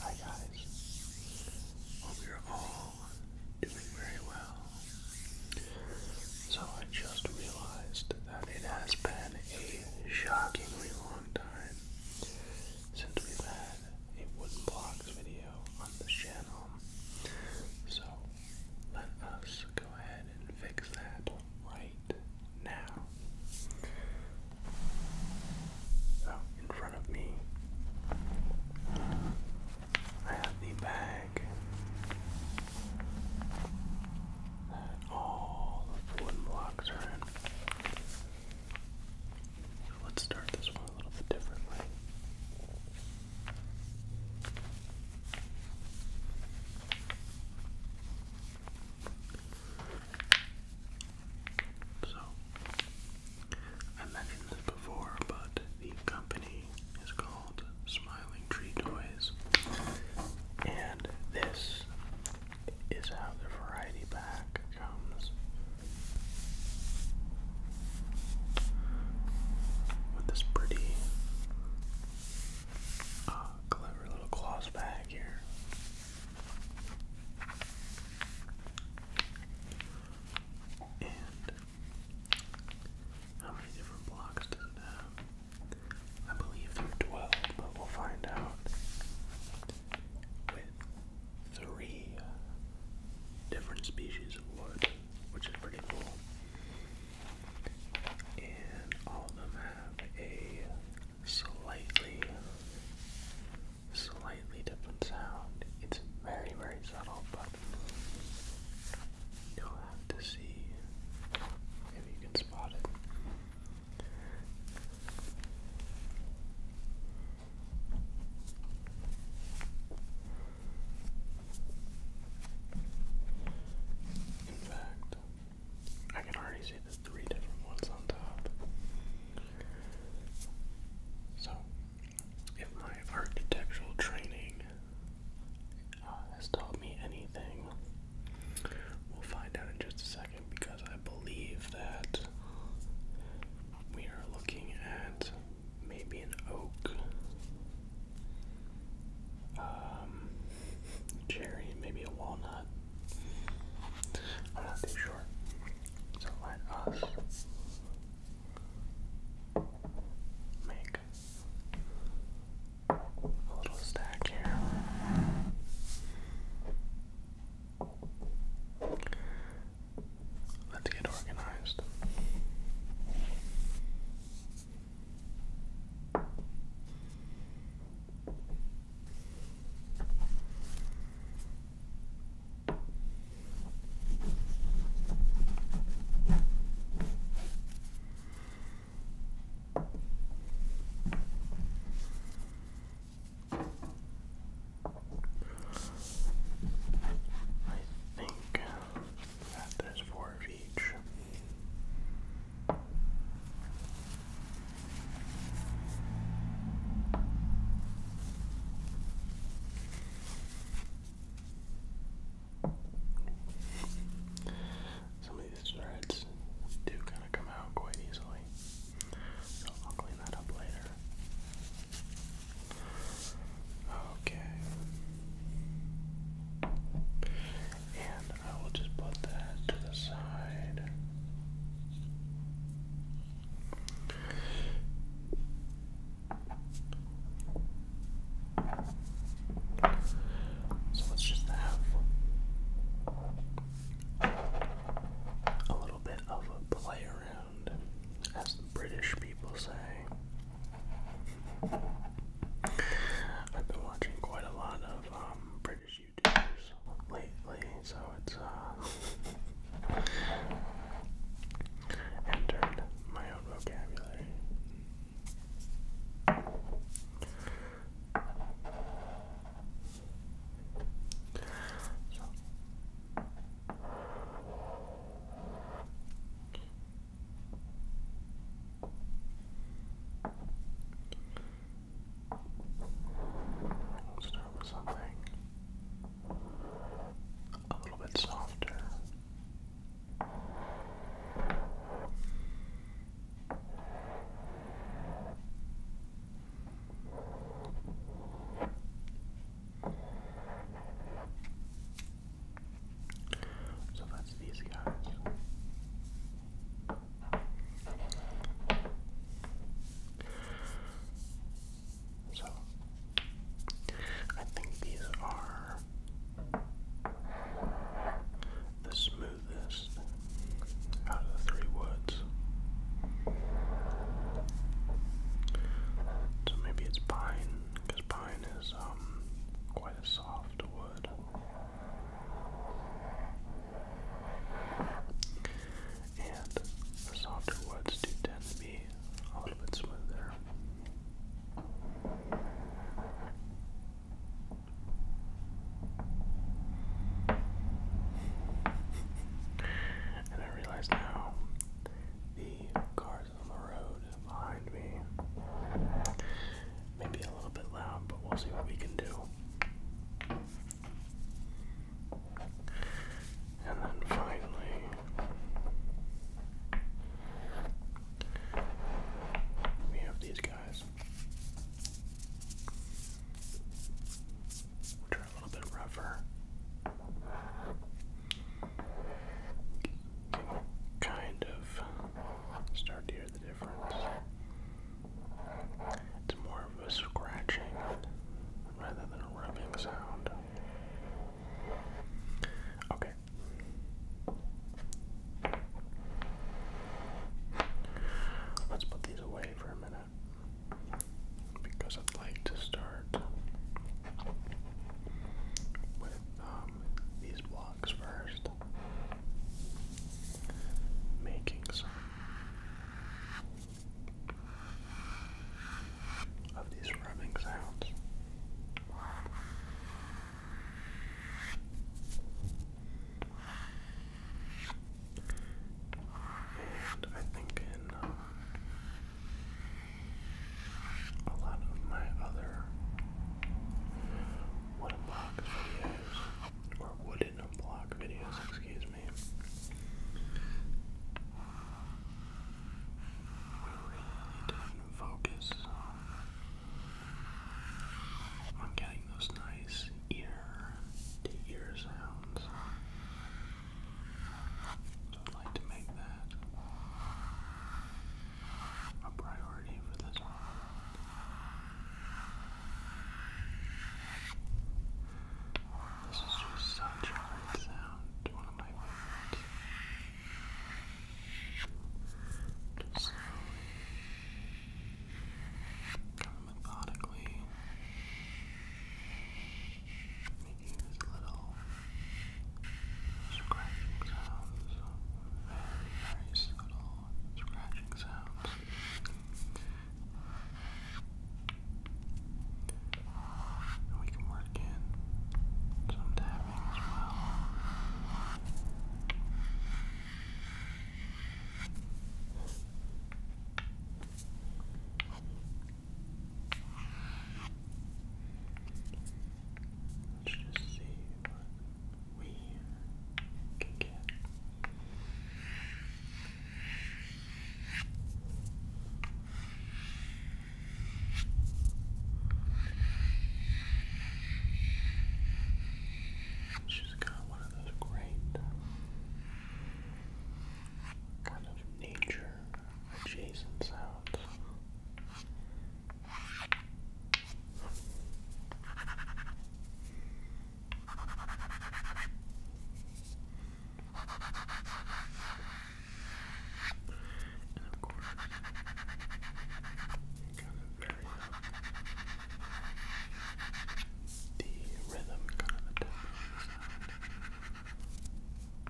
Hi guys, hope you're all doing very well. So I just realized that it has been a shockingly long time since we've had a wooden blocks video on this channel. So let us go ahead and fix that right now. So, oh, in front of me, I have the bag that all the wooden blocks are in. So let's start this one. So, I mentioned this before, but the company is called Smiling Tree Toys, and this is how the variety pack comes with this pretty uh, clever little cloth bag here. And how many different blocks does it have? I believe there are 12, but we'll find out with three different species of wood which is pretty cool. And all of them have a slightly, slightly different sound. It's very, very subtle, but you'll have to see if you can spot it. In fact, I can already see the three different ones on top. So, if my architectural training uh, has taught me anything, we'll find out in just a second because I believe that we are looking at maybe an oak, um, cherry, maybe a walnut. I'm not too sure. So let us make a little stack here. Let's get organized. I think there's four of each. Some of these threads do kind of come out quite easily, so I'll clean that up later. Okay. And I will just put that to So let's just have a little bit of a play around as the British people say. I've been watching quite a lot of um, British YouTubers lately, so it's uh, entered my own vocabulary. We'll start with something a little bit softer. So that's these guys. So I think these are the smoothest out of the three woods. So maybe it's pine, because pine is um, quite a soft wood. And the softer woods do tend to be a little bit smoother. and I realize now the car on the road behind me. Maybe a little bit loud, but we'll see what we can do. And then finally, we have these guys, which are a little bit rougher kind of start to hear the difference. It's more of a scratching rather than a rubbing sound. Okay. Let's put these away for a minute because I'd like to start with um, these blocks first, making some of these rubbing sounds. And I think in um, a lot of my other wooden videos, or wooden block videos, excuse me, we really didn't focus on getting those nice ear to ear sounds. I'd like to make that a priority for this one. This is just such a great sound, one of my favorites. Just slowly, methodically making these little scratching sounds, very, very subtle scratching sounds. And we can work in some tapping as well. Let's just see what we can get. She's got one of those great kind of nature adjacent sounds. And of course, kind of vary the rhythm, kind of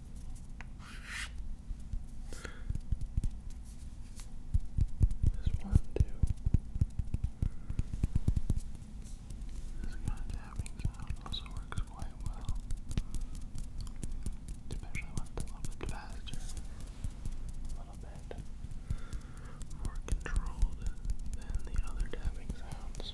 This one too. This kind of tapping sound also works quite well. Especially when it's a little bit faster. A little bit more controlled than the other tapping sounds.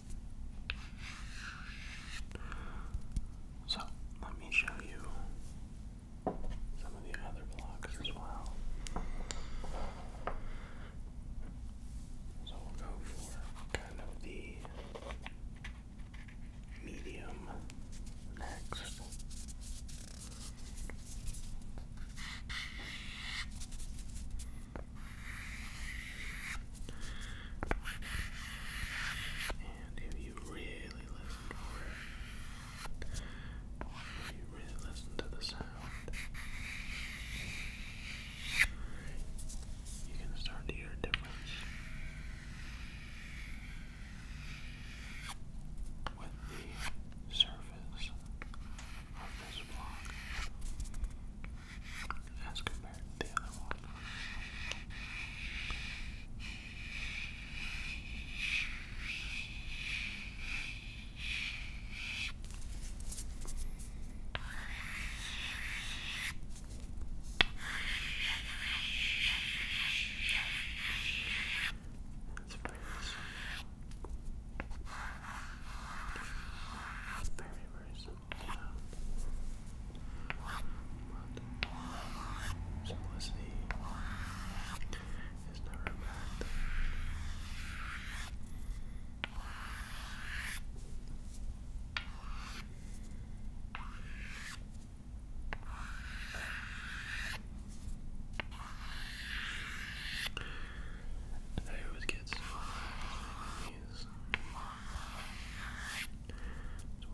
So, let me show you some of the other blocks as well. So, we'll go for kind of the medium next. And if you really listen to the sound, you can start to hear a difference with the surface of this block as compared to the other one. It's very simple. Very, very simple. But simplicity is never a bad thing. And I always get so these so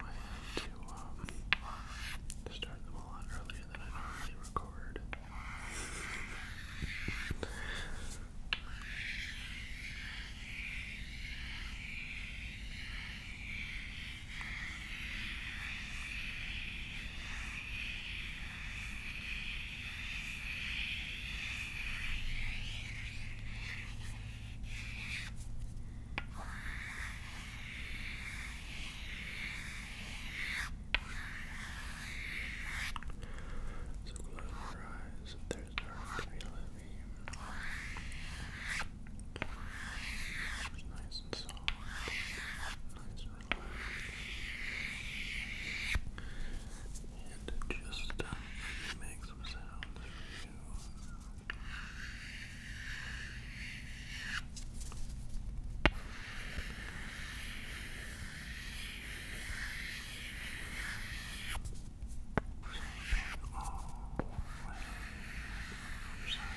I had to um, start them a lot earlier than I normally record. So close your eyes, there's dark to be living. It's nice and soft, nice and relaxed and just uh, make some sounds for you. So all the way from side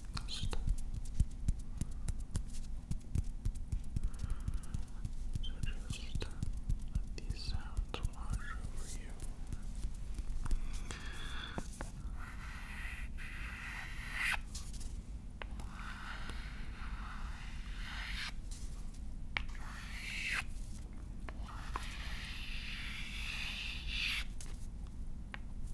relaxed. just uh, let these sounds wash over you.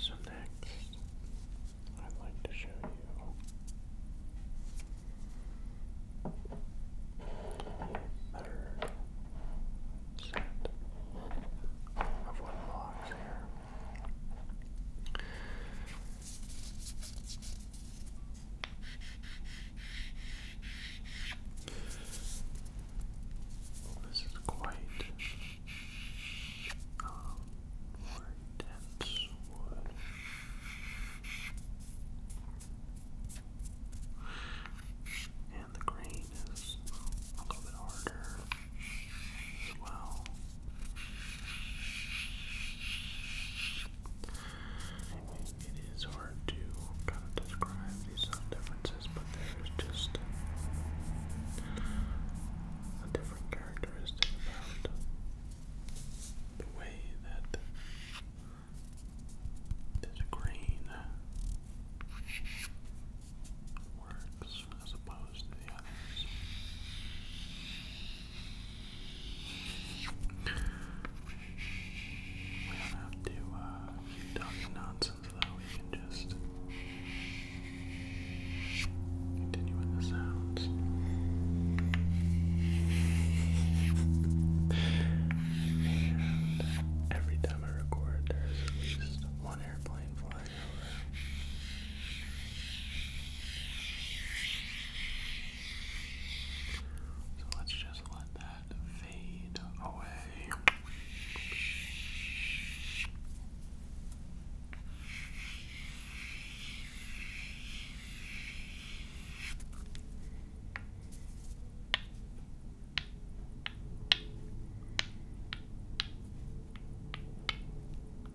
So, next, I'd like to show you the third set of wood blocks here. Well, this is quite more um, dense wood. And the grain is a little bit harder. Wow. It is hard to kind of describe these sound differences, but there's just a different characteristic about the way that this green works as opposed We don't have to uh, nonsense though, we can just continue with the sounds. every time I record, there's at one airplane flying. So let's just let that fade away. I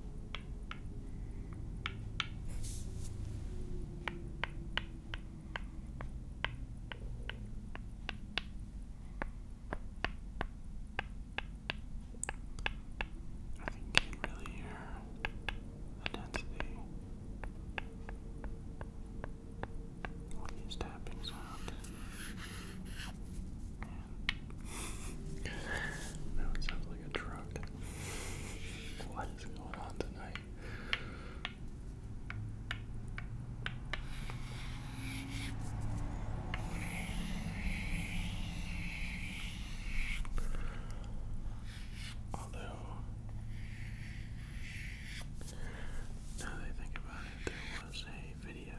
think you can really hear the density. What is tapping sound? now it sounds like a truck. What is going on tonight? Although, now that I think about it, there was a video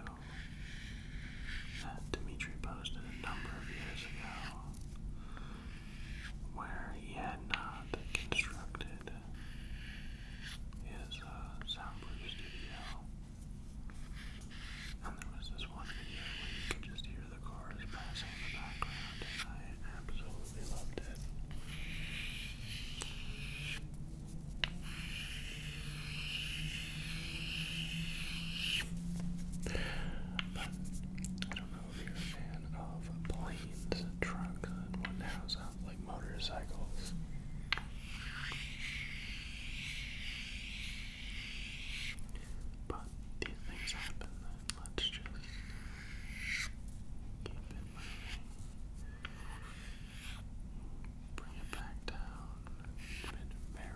that Dimitri posted a number of years ago where he had not constructed his uh, soundproof studio. And there was this one video where you could just hear the cars passing in the background, I absolutely loved it. But I don't know if you're a fan of planes trucks and whatnot, like motorcycles. But these things happen Let's just keep it moving. Bring it back down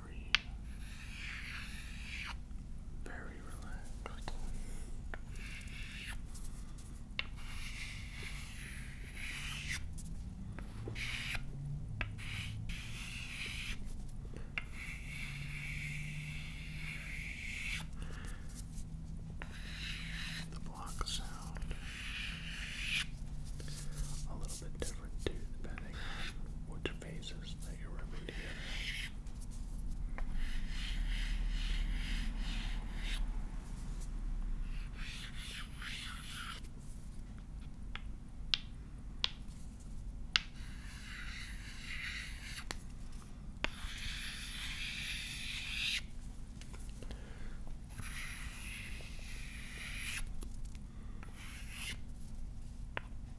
very, relaxed. The block sound a little bit different too, depending on phases that you're remediating.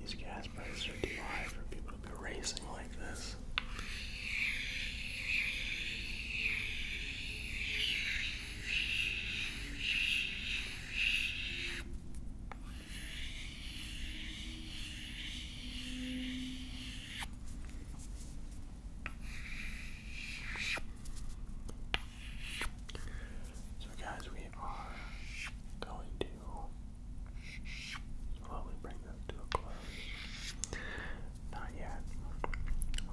these gas prices are too high for people to be racing like this. So, guys, we are going to slowly bring this to a close. Not yet.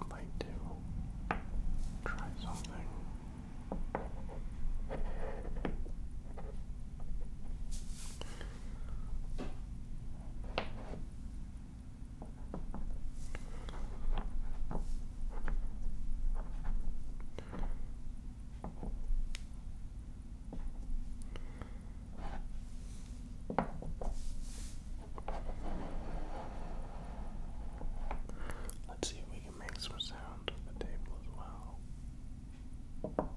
I'd like to try something. Let's see if we can make some sound on the table as well.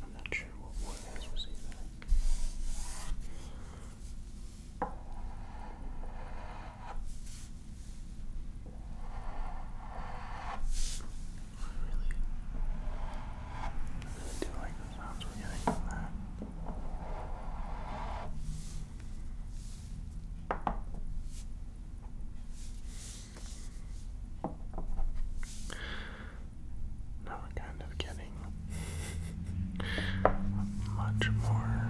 I'm not sure what wood has received that. I really, I really do like the sounds we're getting from that. Now we're kind of getting much more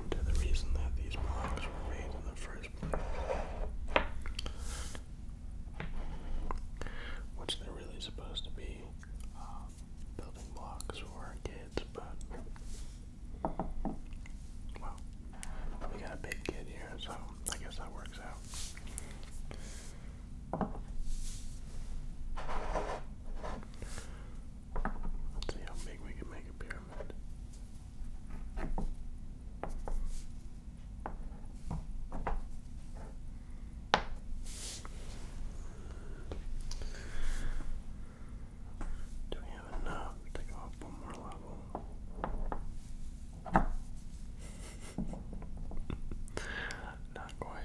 into the reason that these blocks were made in the first place. Which they're really supposed to be building blocks for our kids, but well, we got a big kid here, so I guess that works out. Let's see how big we can make a pyramid. Do we have enough to go up one more level? Not quite.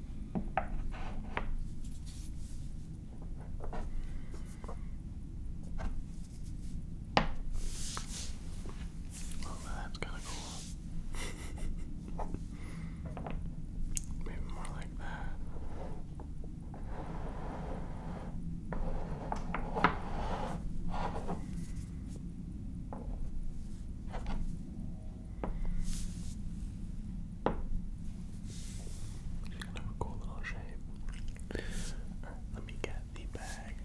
Well, that's kind of cool. Maybe more like that. It's kind of a cool little shape. let me get the bag.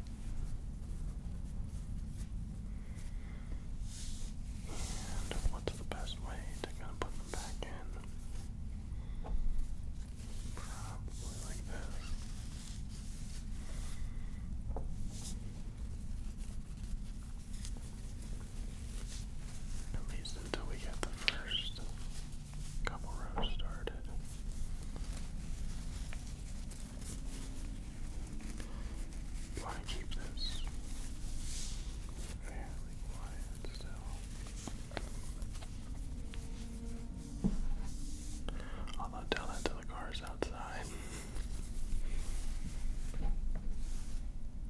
And what's the best way to kind of put them back in? Probably like this. At least until we get the first couple rows started. want to keep this fairly quiet still. Although tell that to the cars outside.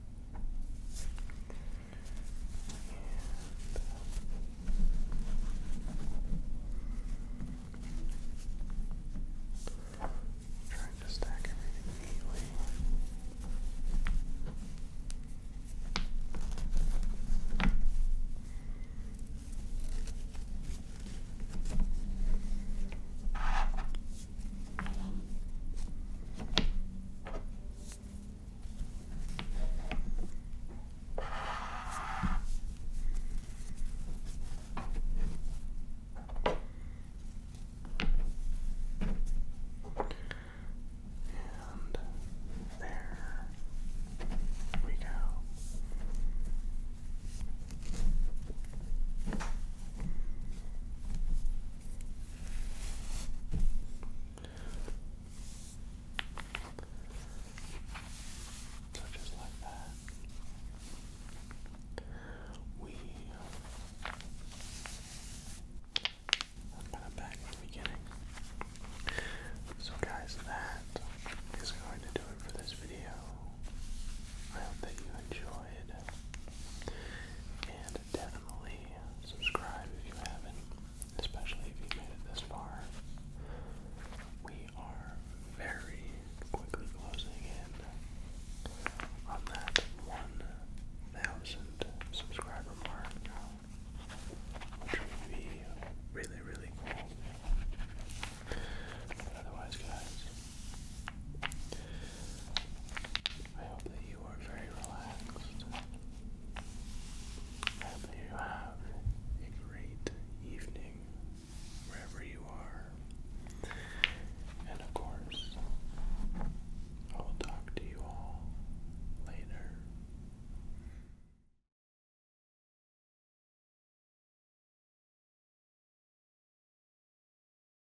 And trying to stack everything neatly. And there we go. So just like that, we. I'm to the beginning. So guys, that is going to do it for this video. I hope that you enjoyed, definitely subscribe if you haven't, especially if you made it this far. We are very quickly closing in on that 1,000 subscriber mark, which would be really, really cool. But otherwise, guys, I hope that you are very relaxed. I hope that you have a great evening wherever you are. And of course, I will talk to you all later.